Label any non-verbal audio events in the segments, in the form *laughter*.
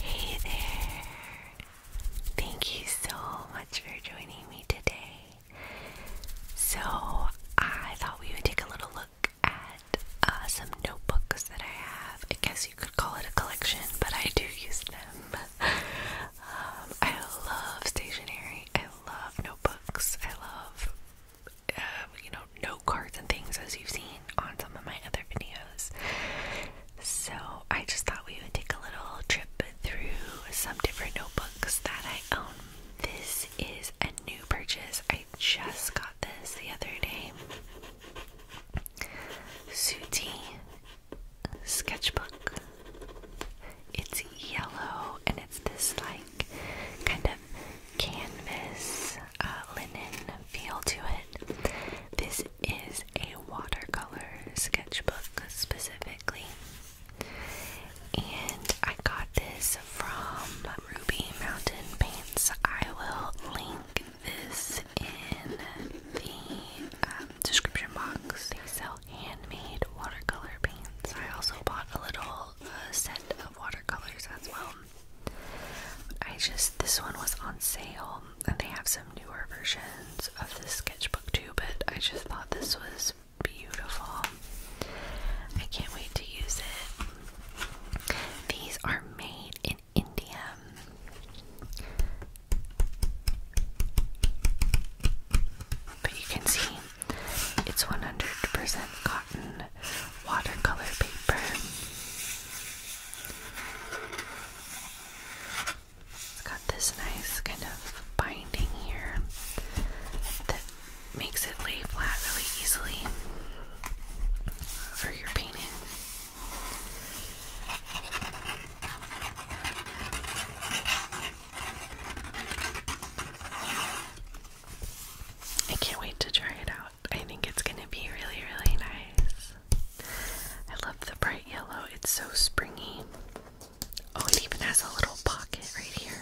Hey there! Thank you so much for joining me today. So, I thought we would take a little look at uh, some notebooks that I have. I guess you could call it a collection, but I do use them. *laughs* Um, I love stationery, I love notebooks, I love, uh, you know, note cards and things as you've seen on some of my other videos. So I just thought we would take a little trip through some different notebooks that I own. This is a new purchase. I just got this the other day. Suti sketchbook. It's yellow and it's this like kind of canvas uh, linen feel to it. This is a watercolor sketchbook specifically, and I got this from Ruby Mountain Paints. I will link this in the um, description box. They sell handmade watercolor paints. I also bought a little uh, set of watercolors as well. I just, this one was on sale and they have some newer versions of this sketchbook too, but I just thought this was beautiful. I can't wait to use it. These are made in India. But you can see it's 100% cotton watercolor paper. It's got this nice kind of binding here that makes it lay flat really easily for your painting. I can't wait to try it out. I think it's going to be really, really nice. I love the bright yellow, it's so springy. Oh, it even has a little pocket right here.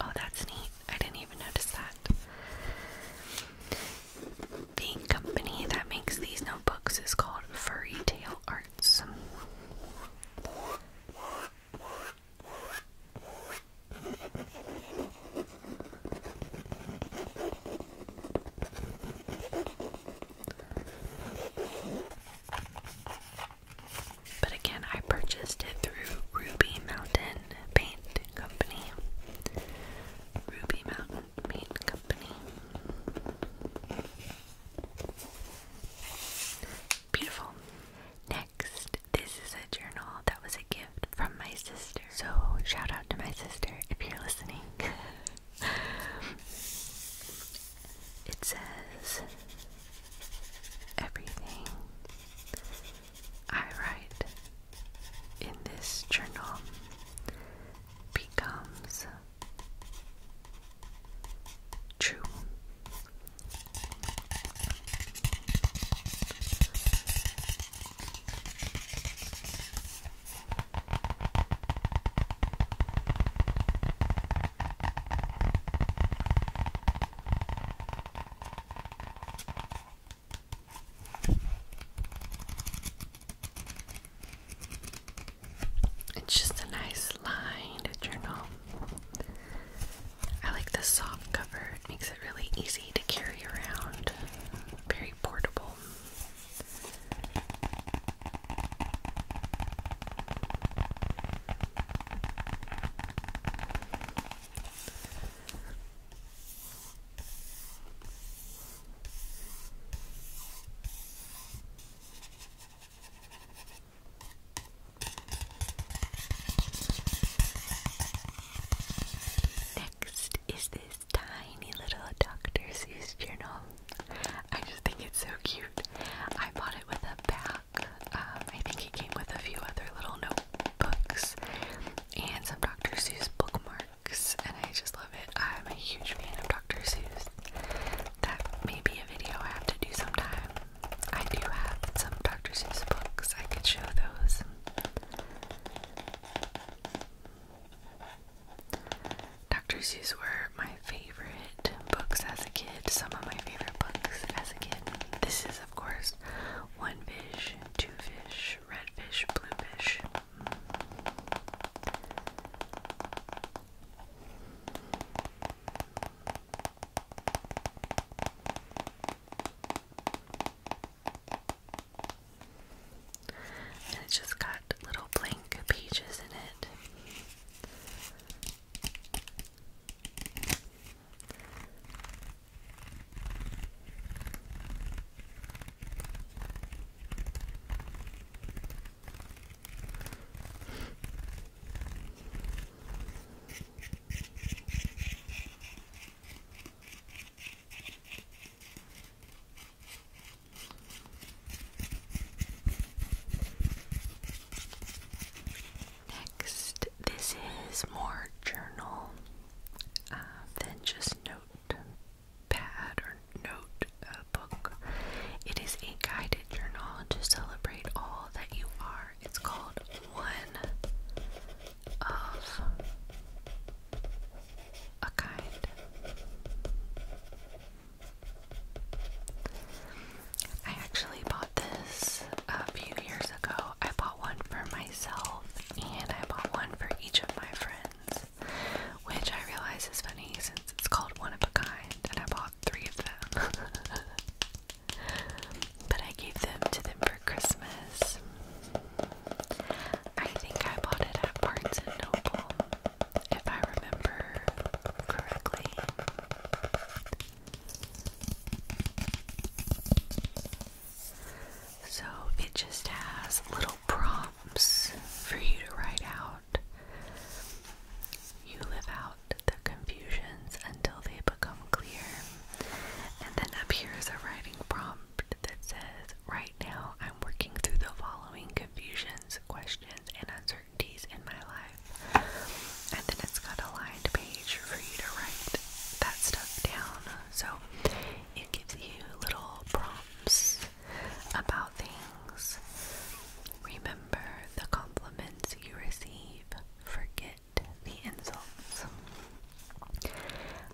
Oh, that's neat. I didn't even notice that. The company that makes these notebooks is called Furry Tail Arts. But again, I purchased it through Ruby Mountain Paint Company. Ruby Mountain Paint Company. Beautiful. Next, this is a journal that was a gift from my sister. So, shout out to my sister if you're listening. *laughs* It says everything I write in this journal becomes true. It's just a nice lined journal. I like the soft cover, it makes it really easy to carry around. Very portable. Next is this tiny little Dr. Seuss journal. I just think it's so cute. I bought it with a pack. Um, I think it came with a few other little notebooks and some Dr. Seuss bookmarks, and I just love it. I'm a huge fan of Dr. Seuss. That may be a video I have to do sometime. I do have some Dr. Seuss books. I could show those. Dr. Seuss were my favorite books as a kid, some of my favorite books as a kid. This is, of course, One Fish, Two Fish, Red Fish, Blue Fish. And it's just got little blank pages in it. Next, this is more journal uh, than just note or note uh, It is a guided journal to celebrate all that you are. It's called One of a kind. I actually bought this a few years ago. I bought one for myself and I bought one for each of my friends, which I realize is funny since it's called one of a kind and I bought three of them. *laughs* but I gave them to them for Christmas. I think I bought it at Barnes and Noble, if I remember correctly. So it just has little prompts for you to write out. You live out the confusions until they become clear. And then up here is a writing prompt that says, Right now I working through the following confusions, questions, and uncertainties in my life. And then it's got a lined page for you to write that stuff down. So it gives you little prompts about things. Remember the compliments you receive, forget the insults.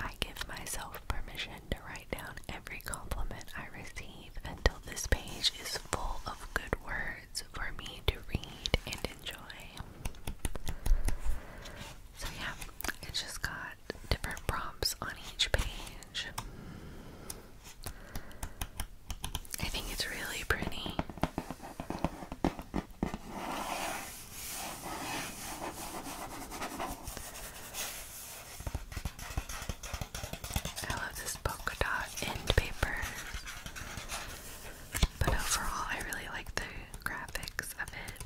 I give myself permission to write down every compliment I receive until this page is full of good words for me to read and enjoy. So, yeah, it's just got different prompts on each page. I think it's really pretty. I love this polka dot end paper. But overall, I really like the graphics of it.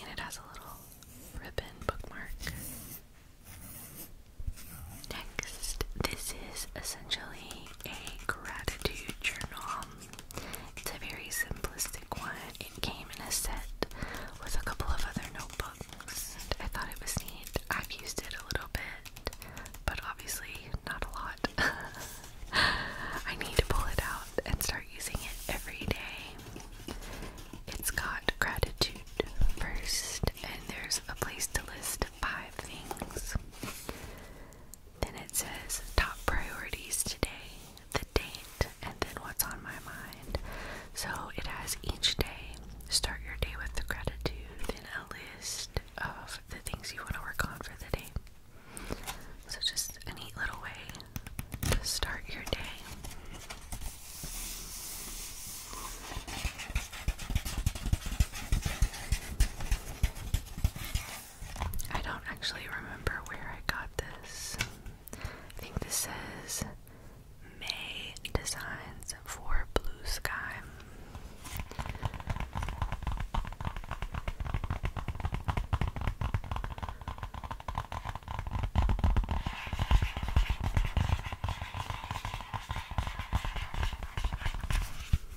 And it has a little ribbon bookmark. Next, this is essentially a gratitude journal. It's a very simplistic one. It came in a set with a couple of other notebooks. I thought it was neat. I've used it a little bit, but obviously not a lot. *laughs* I need to pull it out and start using it every day. It's got gratitude first, and there's a place to list five things. Then it says top priorities today, the date, and then what's on my mind. So it has each day. Start your day with gratitude, then a list of the things you want to work on for the day. So just a neat little way to start your day. I don't actually remember where I got this. I think this says May Designs for Blue Sky.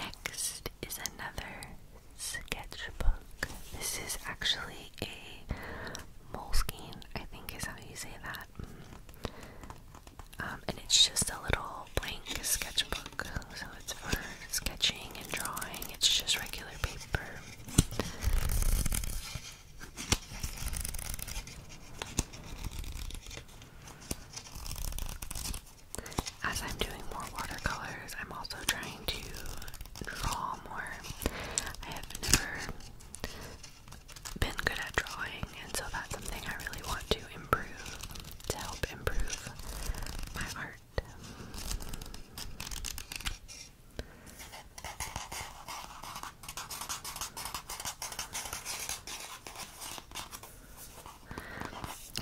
Next is another sketchbook. This is actually a moleskine, I think is how you say that. Um, and it's just a little blank sketchbook. So it's for sketching and drawing, it's just regular paper. As I'm doing more watercolors, I'm also trying to draw more. I have never been good at drawing, and so that's something I really want to improve to help improve my art.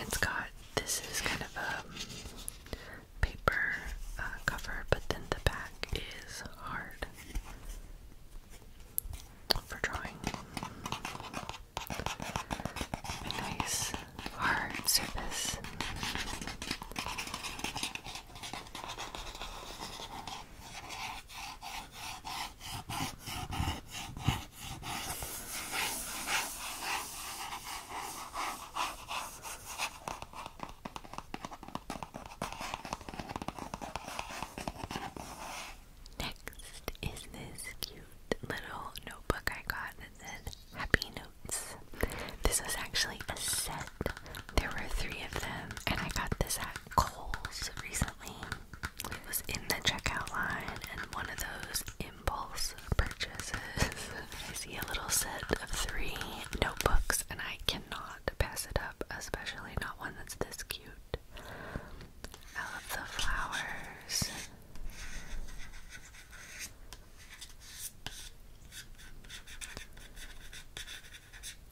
It's got this is kind of a paper uh, cover, but then the back is hard for drawing. nice hard surface. Next is this cute little notebook I got that says Happy Notes. This was actually a set. There were three of them, and I got this at Kohl's recently. It was in the checkout line, and one of those impulse purchases. *laughs* I see a little set of three notebooks, and I cannot pass it up, especially not one that's this cute. I love the flowers.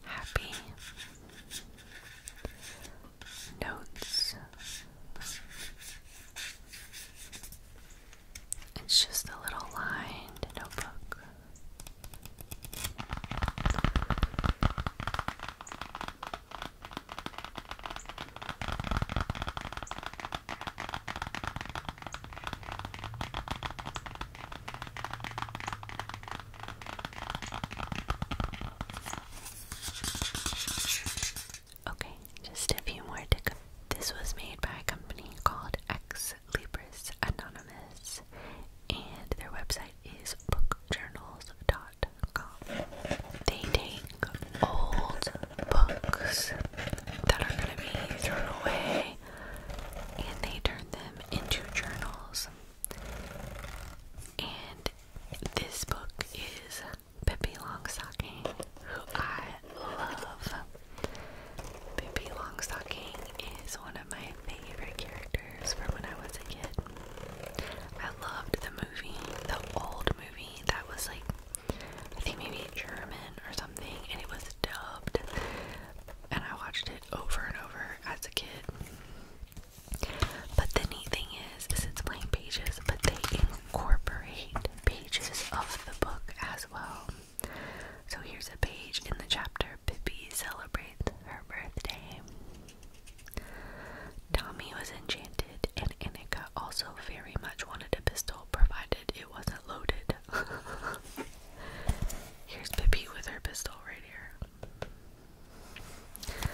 Happy notes. It's just a little lined notebook. Okay, just a few more This was made by a company called Ex Libris Anonymous, and their website is bookjournals.com. They take old books that are going to be thrown away and they turn them into journals. And this book is Pippi Longstocking, who I love. Pippi Longstocking is one of my favorite characters from when I was a kid. I loved the movie, the old movie that was like, I think maybe German or something, and it was dubbed. And I watched it over and over as a kid. But the neat thing is, is it's blank pages, but they incorporate pages of the book as well. So here's a page in the chapter Pippi celebrates her birthday. Tommy was enchanted, and Annika also very much wanted a pistol, provided it wasn't loaded. *laughs* Here's Pippi with her pistol right here.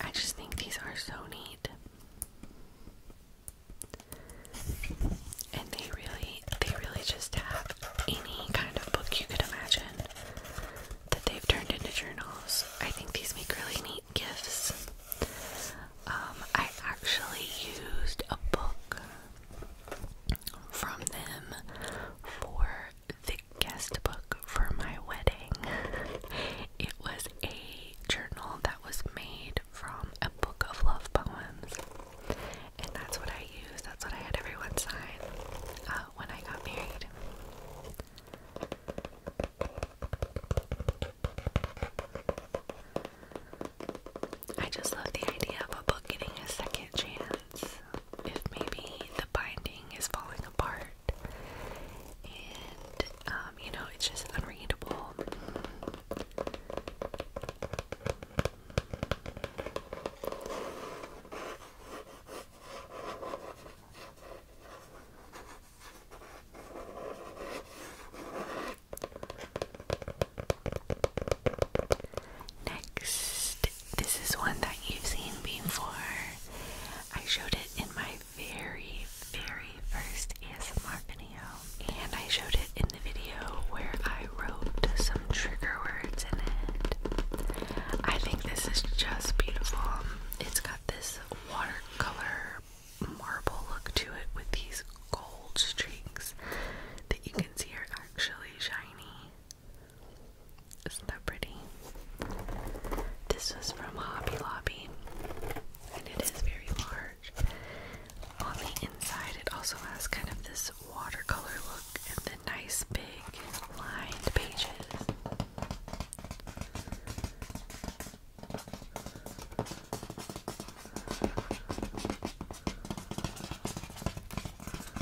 I just think these are so neat. And they really they really just have any kind of book you could imagine that they've turned into journals. I think these make really neat gifts. Um, I actually used a book from them for the guest book for my wedding. *laughs* it was a journal that was made from a book of love poems, and that's what I used. That's what I had everyone sign uh, when I got married. I just love the idea of a book getting a second chance if maybe the binding is falling apart and um, you know it's just unreadable. Next, this is one that you've seen before. I showed it in my very, very first ASMR video, and I showed it in the video where I wrote some trigger words in it. I think this is just beautiful. It's got this watercolor marble look to it with these gold streaks that you can see are actually shiny. Isn't that pretty? This was from Hobby Lobby, and it is very large. On the inside, it also has kind of this watercolor look and the nice big lined pages.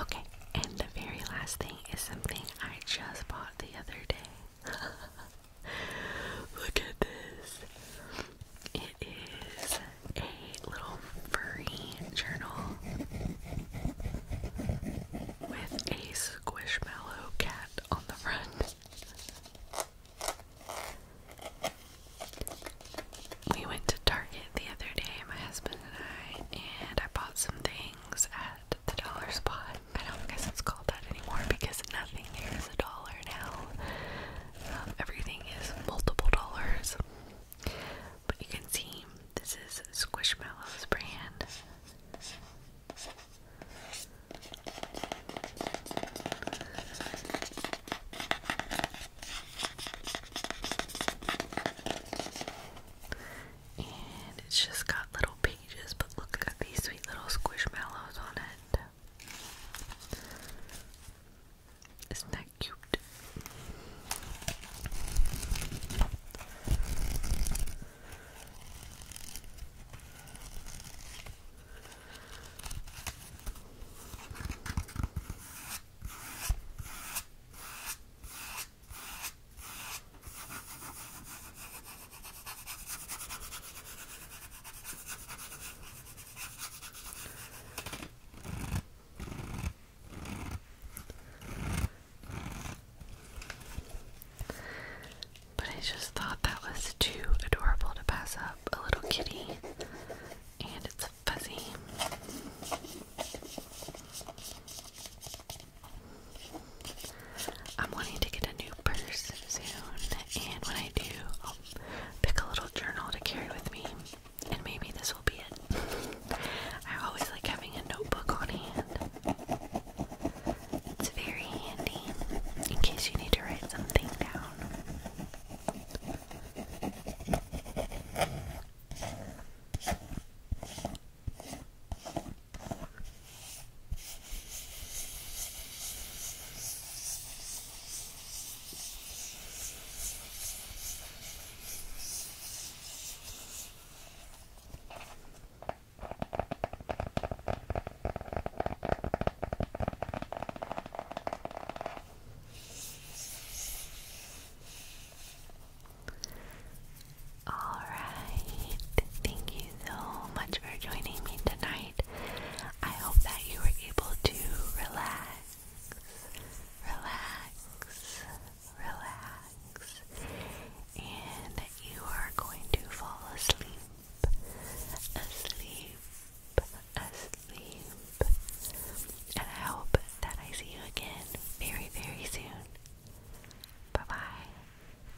Okay, and the very last thing is something I just bought the other day. *laughs* Look at this. It is a little furry journal with a squishmallow cat on the front. We went to Target the other day, my husband and I, and I bought some things at the dollar spot. I don't guess it's called that anymore because nothing here is a dollar now. Um, everything is multiple dollars. But you can see this is Squishmallows brand. And it's just got little pages, but look at these sweet little squishmallows on it. Isn't that cute? But I just thought that was too adorable to pass up a little kitty, and it's fuzzy. I'm wanting to get a new purse soon, and when I do, I'll pick a little journal to carry with me, and maybe this will be it. I always like having a notebook on hand. It's very handy in case you need to write something down. All right, thank you so much for joining me tonight. I hope that you were able to relax, relax, relax, and you are going to fall asleep, asleep, asleep. And I hope that I see you again very, very soon. Bye bye.